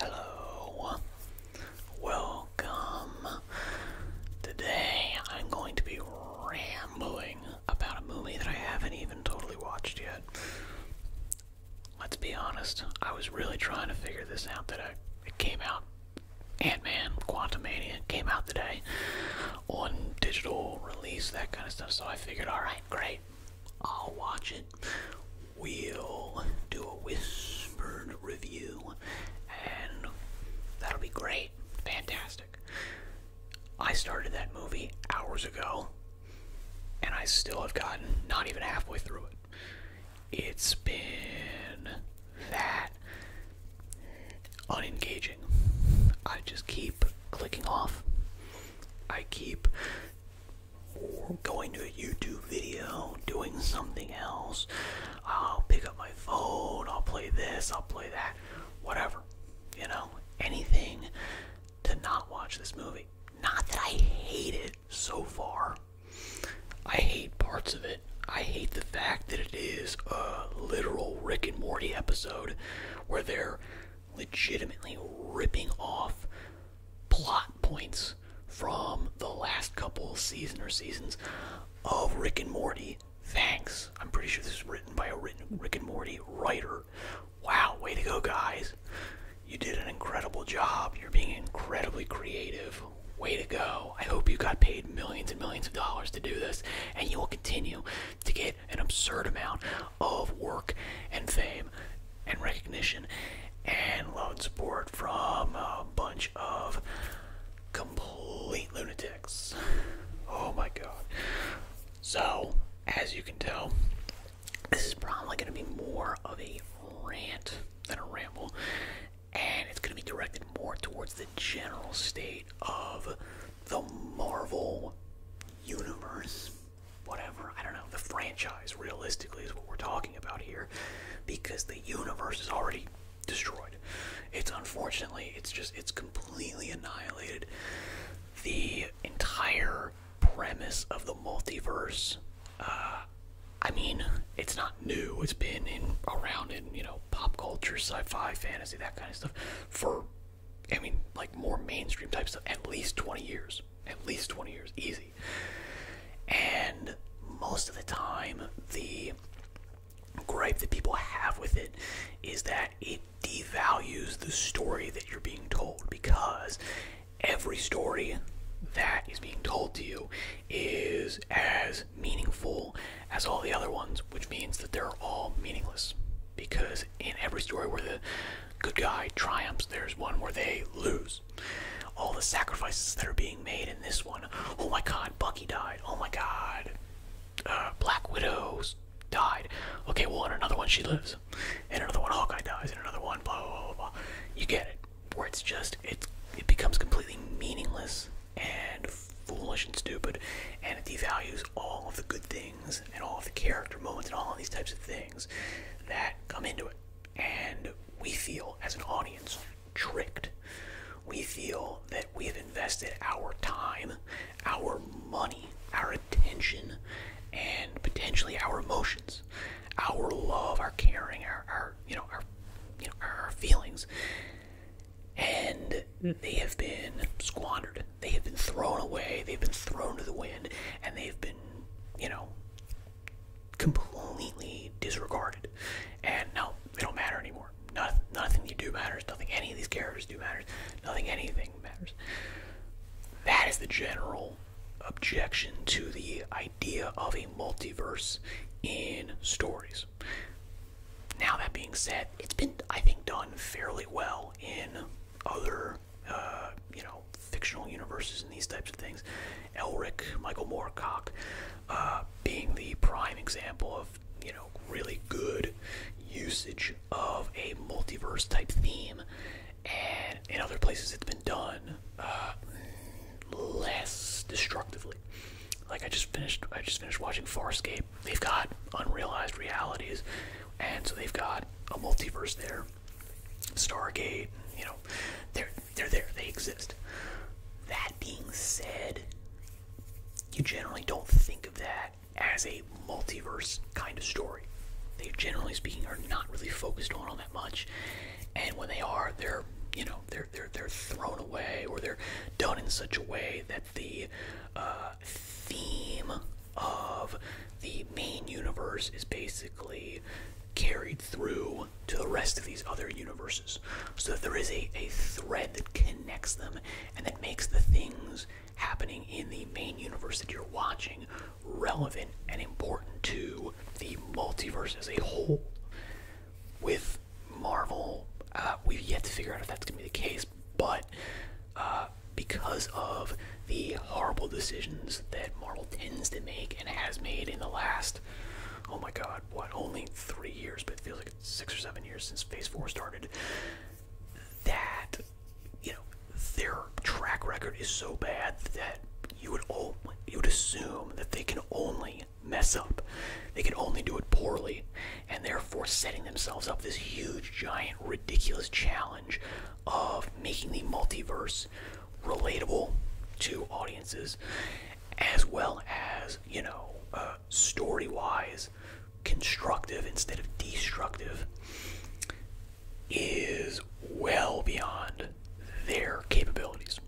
Hello, welcome. Today I'm going to be rambling about a movie that I haven't even totally watched yet. Let's be honest, I was really trying to figure this out today. It came out, Ant-Man, Quantum Mania came out today on digital release, that kind of stuff. So I figured, alright, great, I'll watch it we'll do a whispered review, and that'll be great. Fantastic. I started that movie hours ago, and I still have gotten not even halfway through it. It's been that unengaging. I just keep clicking off. I keep or going to a YouTube video, doing something else. I'll pick up my phone, I'll play this, I'll play that, whatever. You know, anything to not watch this movie. Not that I hate it so far. I hate parts of it. I hate the fact that it is a literal Rick and Morty episode where they're legitimately ripping off plot points from the last couple season or seasons of Rick and Morty. Thanks. I'm pretty sure this is written by a written Rick and Morty writer. Wow, way to go, guys. You did an incredible job. You're being incredibly creative. Way to go. I hope you got paid millions and millions of dollars to do this, and you will continue to get an absurd amount of work and fame and recognition and love and support from a bunch of complete lunatics. Oh my god. So, as you can tell, this is probably going to be more of a rant than a ramble, and it's going to be directed more towards the general state of the Marvel universe whatever, I don't know, the franchise realistically is what we're talking about here because the universe is already destroyed. It's unfortunately, it's just, it's completely annihilated. The entire premise of the multiverse, uh, I mean, it's not new. It's been in around in, you know, pop culture, sci-fi, fantasy, that kind of stuff for, I mean, like more mainstream types of at least 20 years at least 20 years, easy. And most of the time, the gripe that people have with it is that it devalues the story that you're being told because every story that is being told to you is as meaningful as all the other ones, which means that they're all meaningless. Because in every story where the good guy triumphs, there's one where they lose. All the sacrifices that are being made in this one. Oh my god, Bucky died. Oh my god. Uh, Black Widows died. Okay, well, another one, she lives. and another one, Hawkeye dies. and another one, blah, blah, blah, blah. You get it. Where it's just, it, it becomes completely meaningless and foolish and stupid, and it devalues all of the good things and all of the character moments and all of these types of things that come into it and we feel as an audience tricked. We feel that we have invested our time, our money, our attention, and potentially our emotions, our love, our caring, our, you know, our you know, our feelings. And they have been squandered. They have been thrown away. They've been thrown to the wind, and they've been, you know, completely disregarded. And no, they don't matter anymore. Nothing, nothing you do matters. Nothing any of these characters do matters. Nothing anything matters. That is the general objection to the idea of a multiverse in stories. Now that being said, it's been I think done fairly well in other uh, you know fictional universes and these types of things. Elric, Michael Moorcock, uh, being the prime example of you know really good usage of a multiverse type theme, and in other places it's been done uh, less destructively. Like I just finished, I just finished watching Farscape. They've got unrealized realities, and so they've got a multiverse there. Stargate, you know, there they're there, they exist. That being said, you generally don't think of that as a multiverse kind of story. They generally speaking are not really focused on all that much. And when they are, they're you know, they're they're they're thrown away or they're done in such a way that the uh, theme of the main universe is basically carried through to the rest of these other universes. So that there is a, a thread that connects them and that makes the things happening in the main universe that you're watching relevant and important to the multiverse as a whole. With Marvel, uh, we've yet to figure out if that's going to be the case, but uh, because of the horrible decisions that Marvel tends to make and has made in the last, oh my god, what, only three years, but it feels like six or seven years since Phase 4 started. That, you know, their track record is so bad that you would, you would assume that they can only mess up. They can only do it poorly, and therefore setting themselves up this huge, giant, ridiculous challenge of making the multiverse relatable to audiences as well as you know uh, story wise constructive instead of destructive is well beyond their capabilities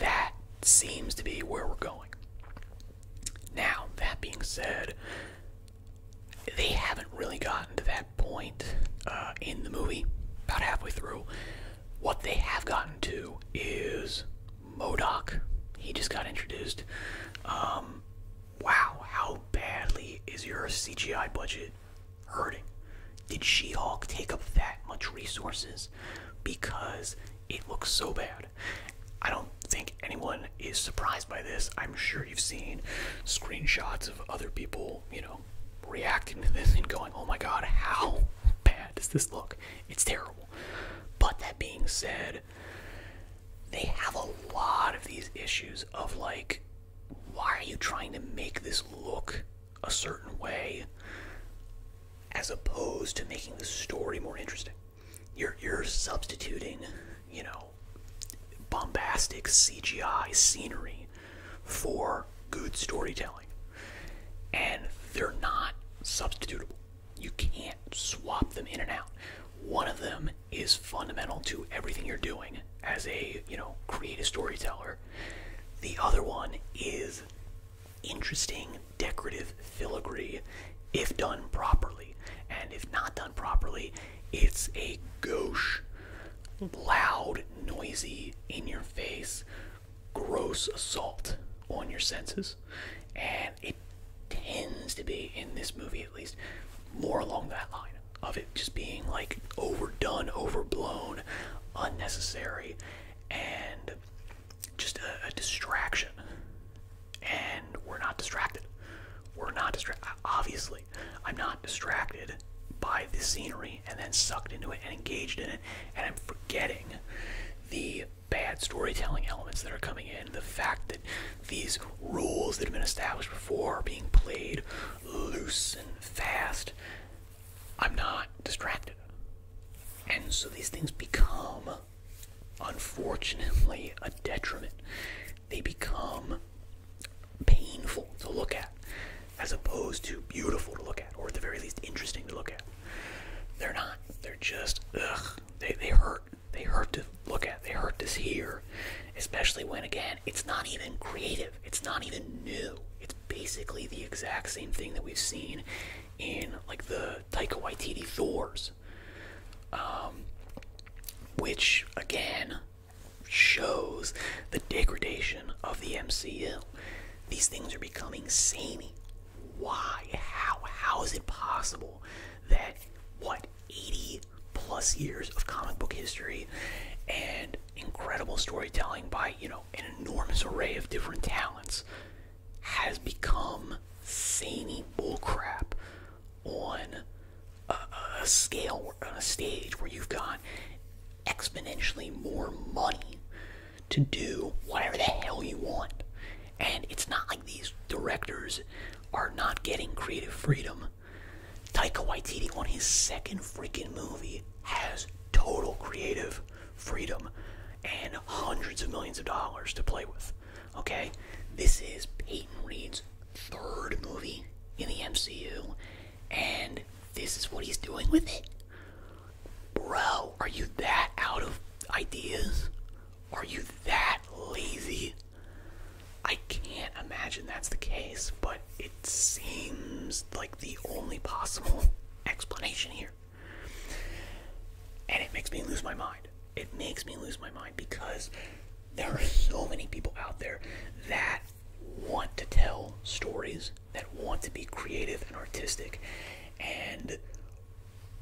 that seems to be where we're going now that being said they haven't really gotten to that point uh, in the movie, about halfway through, what they have gotten to is Modoc. He just got introduced. Um, wow, how badly is your CGI budget hurting? Did She Hulk take up that much resources? Because it looks so bad. I don't think anyone is surprised by this. I'm sure you've seen screenshots of other people, you know, reacting to this and going, oh my god, how bad does this look? It's terrible. But that being said, they have a lot of these issues of like, why are you trying to make this look a certain way as opposed to making the story more interesting? You're, you're substituting, you know, bombastic CGI scenery for good storytelling. And they're not substitutable. You can't swap them in and out. One of them is fundamental to everything you're doing as a, you know, creative storyteller. The other one is interesting decorative filigree if done properly. And if not done properly, it's a gauche, loud, noisy, in your face, gross assault on your senses. And it tends to be, in this movie at least, more along that line of it just being like overdone, overblown, unnecessary, and just a, a distraction. And we're not distracted. We're not distracted. Obviously, I'm not distracted by the scenery and then sucked into it and engaged in it, and I'm forgetting the bad storytelling elements that are coming in, the fact that these rules that have been established before are being played loose and fast. I'm not distracted. And so these things become, unfortunately, a detriment. They become painful to look at as opposed to beautiful to look at or at the very least interesting to look at they're not they're just ugh they, they hurt they hurt to look at they hurt to see. especially when again it's not even creative it's not even new it's basically the exact same thing that we've seen in like the taika waititi thors um, which again shows the degradation of the MCU. These things are becoming saney. Why? How? How is it possible that what 80 plus years of comic book history and incredible storytelling by, you know, an enormous array of different talents has become saney bullcrap on a, a scale a stage where you've got exponentially more money to do whatever the hell you want and it's not like these directors are not getting creative freedom taika waititi on his second freaking movie has total creative freedom and hundreds of millions of dollars to play with okay this is peyton reed's third movie in the mcu and this is what he's doing with it. Bro, are you that out of ideas? Are you that lazy? I can't imagine that's the case, but it seems like the only possible explanation here. And it makes me lose my mind. It makes me lose my mind because there are so many people out there that want to tell stories, that want to be creative and artistic, and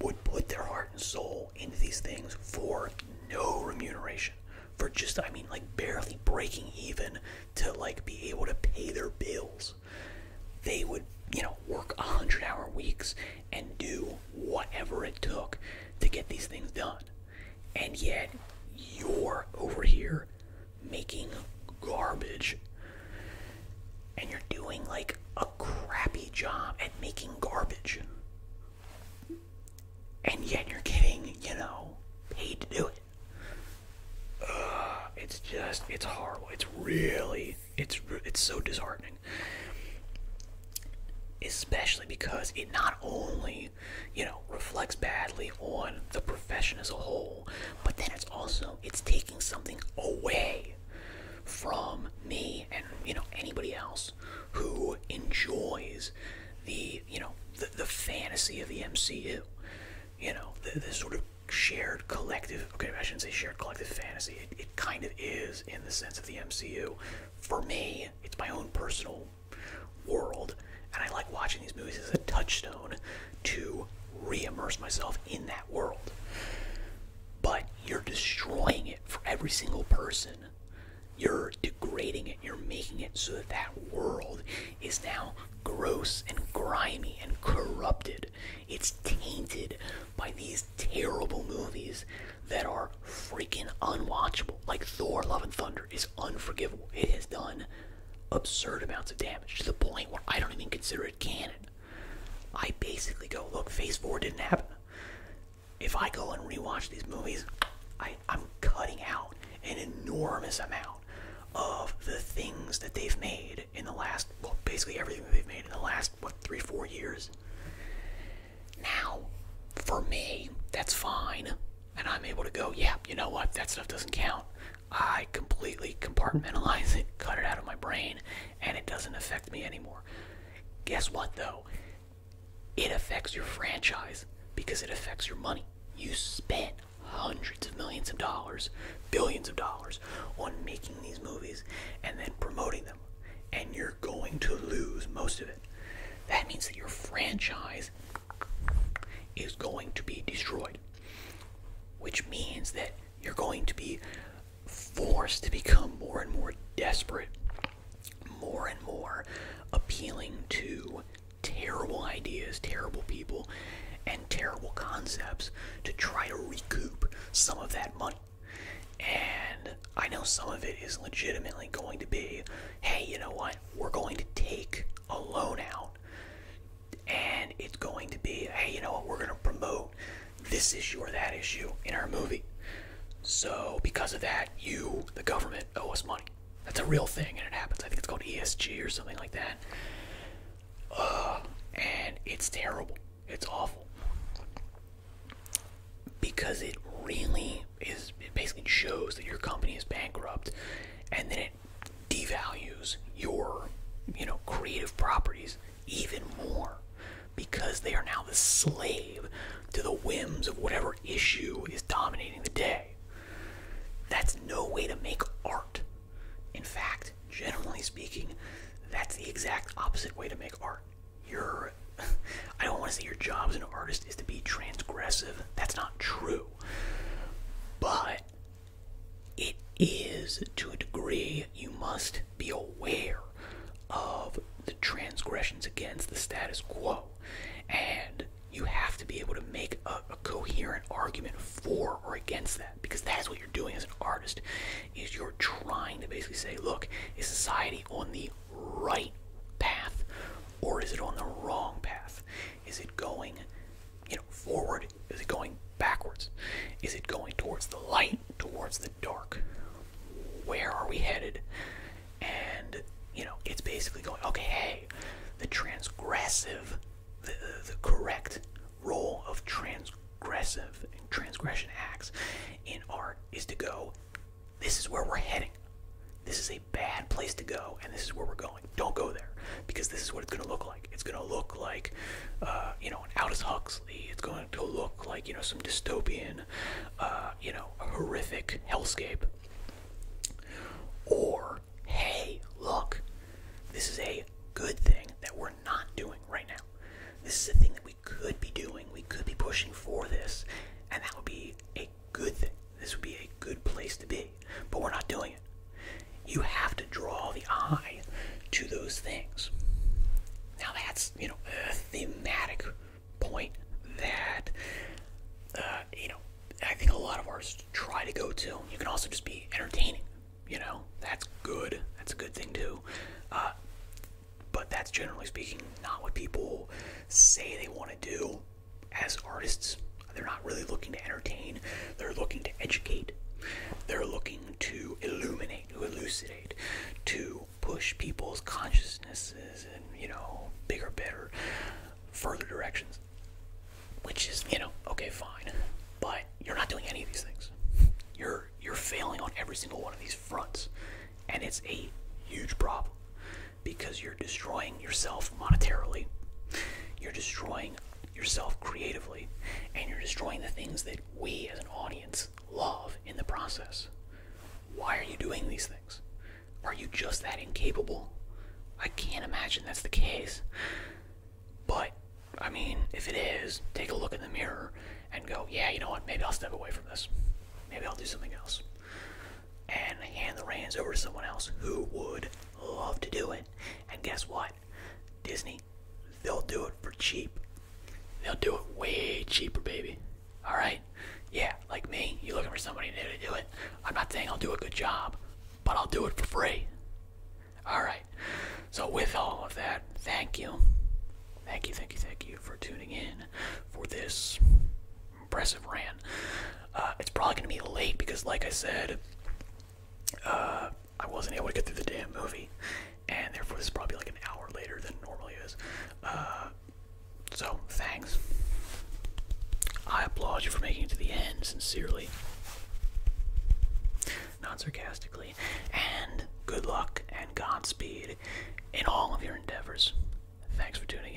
would put their heart and soul into these things for no remuneration. For just, I mean, like barely breaking even to like be able to pay their bills. They would, you know, work 100 hour weeks and do whatever it took to get these things done and yet you're over here making garbage. And you're doing like a crappy job at making garbage. And yet you're getting, you know, paid to do it. it's just, it's horrible. It's really, it's it's so disheartening. Especially because it not only you know, reflects badly on the profession as a whole. But then it's also it's taking something away from me and you know anybody else who enjoys the you know the, the fantasy of the MCU. You know, the, sort of shared collective okay, I shouldn't say shared collective fantasy. it kind of is in the sense of the MCU. For me, it's my own personal world. And I like watching these movies as a touchstone to re immerse myself in that world. But you're destroying it for every single person. You're degrading it. You're making it so that that world is now gross and grimy and corrupted. It's tainted by these terrible movies that are freaking unwatchable, like Thor Love and Thunder is unforgivable. It has done absurd amounts of damage to the point where I don't even consider it canon. I basically go, look, Phase 4 didn't happen. If I go and rewatch these movies, I, am cutting out an enormous amount of the things that they've made in the last, well, basically everything that they've made in the last, what, three, four years. Now, for me, that's fine and I'm able to go, yeah, you know what? That stuff doesn't count. I completely compartmentalize it, cut it out of my brain, and it doesn't affect me anymore. Guess what, though? It affects your franchise because it affects your money. You spent hundreds of millions of dollars, billions of dollars on making these movies and then promoting them, and you're going to lose most of it. That means that your franchise is going to be destroyed. Which means that you're going to be forced to become more and more desperate, more and more appealing to terrible ideas, terrible people, and terrible concepts to try to recoup some of that money. And I know some of it is legitimately going to be hey, you know what? We're going to take a loan out and it's going to be, hey, you know what? We're going to promote this issue or that issue in our movie. So, because of that, you, the government, owe us money. That's a real thing and it happens. I think it's called ESG or something like that. Uh, and it's terrible. It's awful. Because it really is it basically shows that your company is bankrupt and then it devalues your you know creative properties even more because they are now the slave to the whims of whatever issue is dominating the day. That's no way to make art. In fact, generally speaking, that's the exact opposite way to make art. Your I don't want to say your job as an artist is to be transgressive. That's not true. But it is to a degree you must be aware of the transgressions against the status quo. And you have to be able to make a coherent argument for or against that because that's what you're doing as an artist is you're trying to basically say look is society on the right path or is it on the wrong path is it going, you know, forward? Is it going backwards? Is it going towards the light, towards the dark? Where are we headed? And you know, it's basically going, okay, hey, the transgressive, the, the, correct role of transgressive and transgression acts in art is to go, this is where we're heading. This is a bad place to go, and this is where we're going. Don't go there because this is what it's going to look like. It's going to look like, uh, you know, an Aldous Huxley. It's going to look like, you know, some dystopian, uh, you know, horrific hellscape. Or, hey, look, this is a good thing that we're not doing right now. This is a thing that we could be doing. We could be pushing for this, and that would be a good thing. This would be a good place to be, but we're not doing it. You have to draw the eye to those things. Now that's you know a thematic point that uh, you know I think a lot of ours try to go to. You can also just be entertaining. You know that's good. That's a good thing too. Uh, but that's generally speaking not what people say they want to do as artists, they're not really looking to entertain, they're looking to educate, they're looking to illuminate, to elucidate, to push people's consciousnesses in, you know, bigger, better, further directions. Which is, you know, okay, fine. But you're not doing any of these things. You're you're failing on every single one of these fronts. And it's a huge problem because you're destroying yourself monetarily, you're destroying yourself creatively, and you're destroying the things that we as an audience love in the process. Why are you doing these things? Are you just that incapable? I can't imagine that's the case. But, I mean, if it is, take a look in the mirror and go, yeah, you know what, maybe I'll step away from this. Maybe I'll do something else and hand the reins over to someone else who would love to do it. And guess what? Disney, they'll do it for cheap. They'll do it way cheaper, baby. All right? Yeah, like me, you're looking for somebody new to do it. I'm not saying I'll do a good job, but I'll do it for free. All right. So with all of that, thank you. Thank you, thank you, thank you for tuning in for this impressive Ran. Uh, it's probably gonna be late because, like I said, uh, I wasn't able to get through the damn movie, and therefore this is probably like an hour later than normally is. Uh, so thanks. I applaud you for making it to the end, sincerely, not sarcastically, and good luck and Godspeed in all of your endeavors. Thanks for tuning in.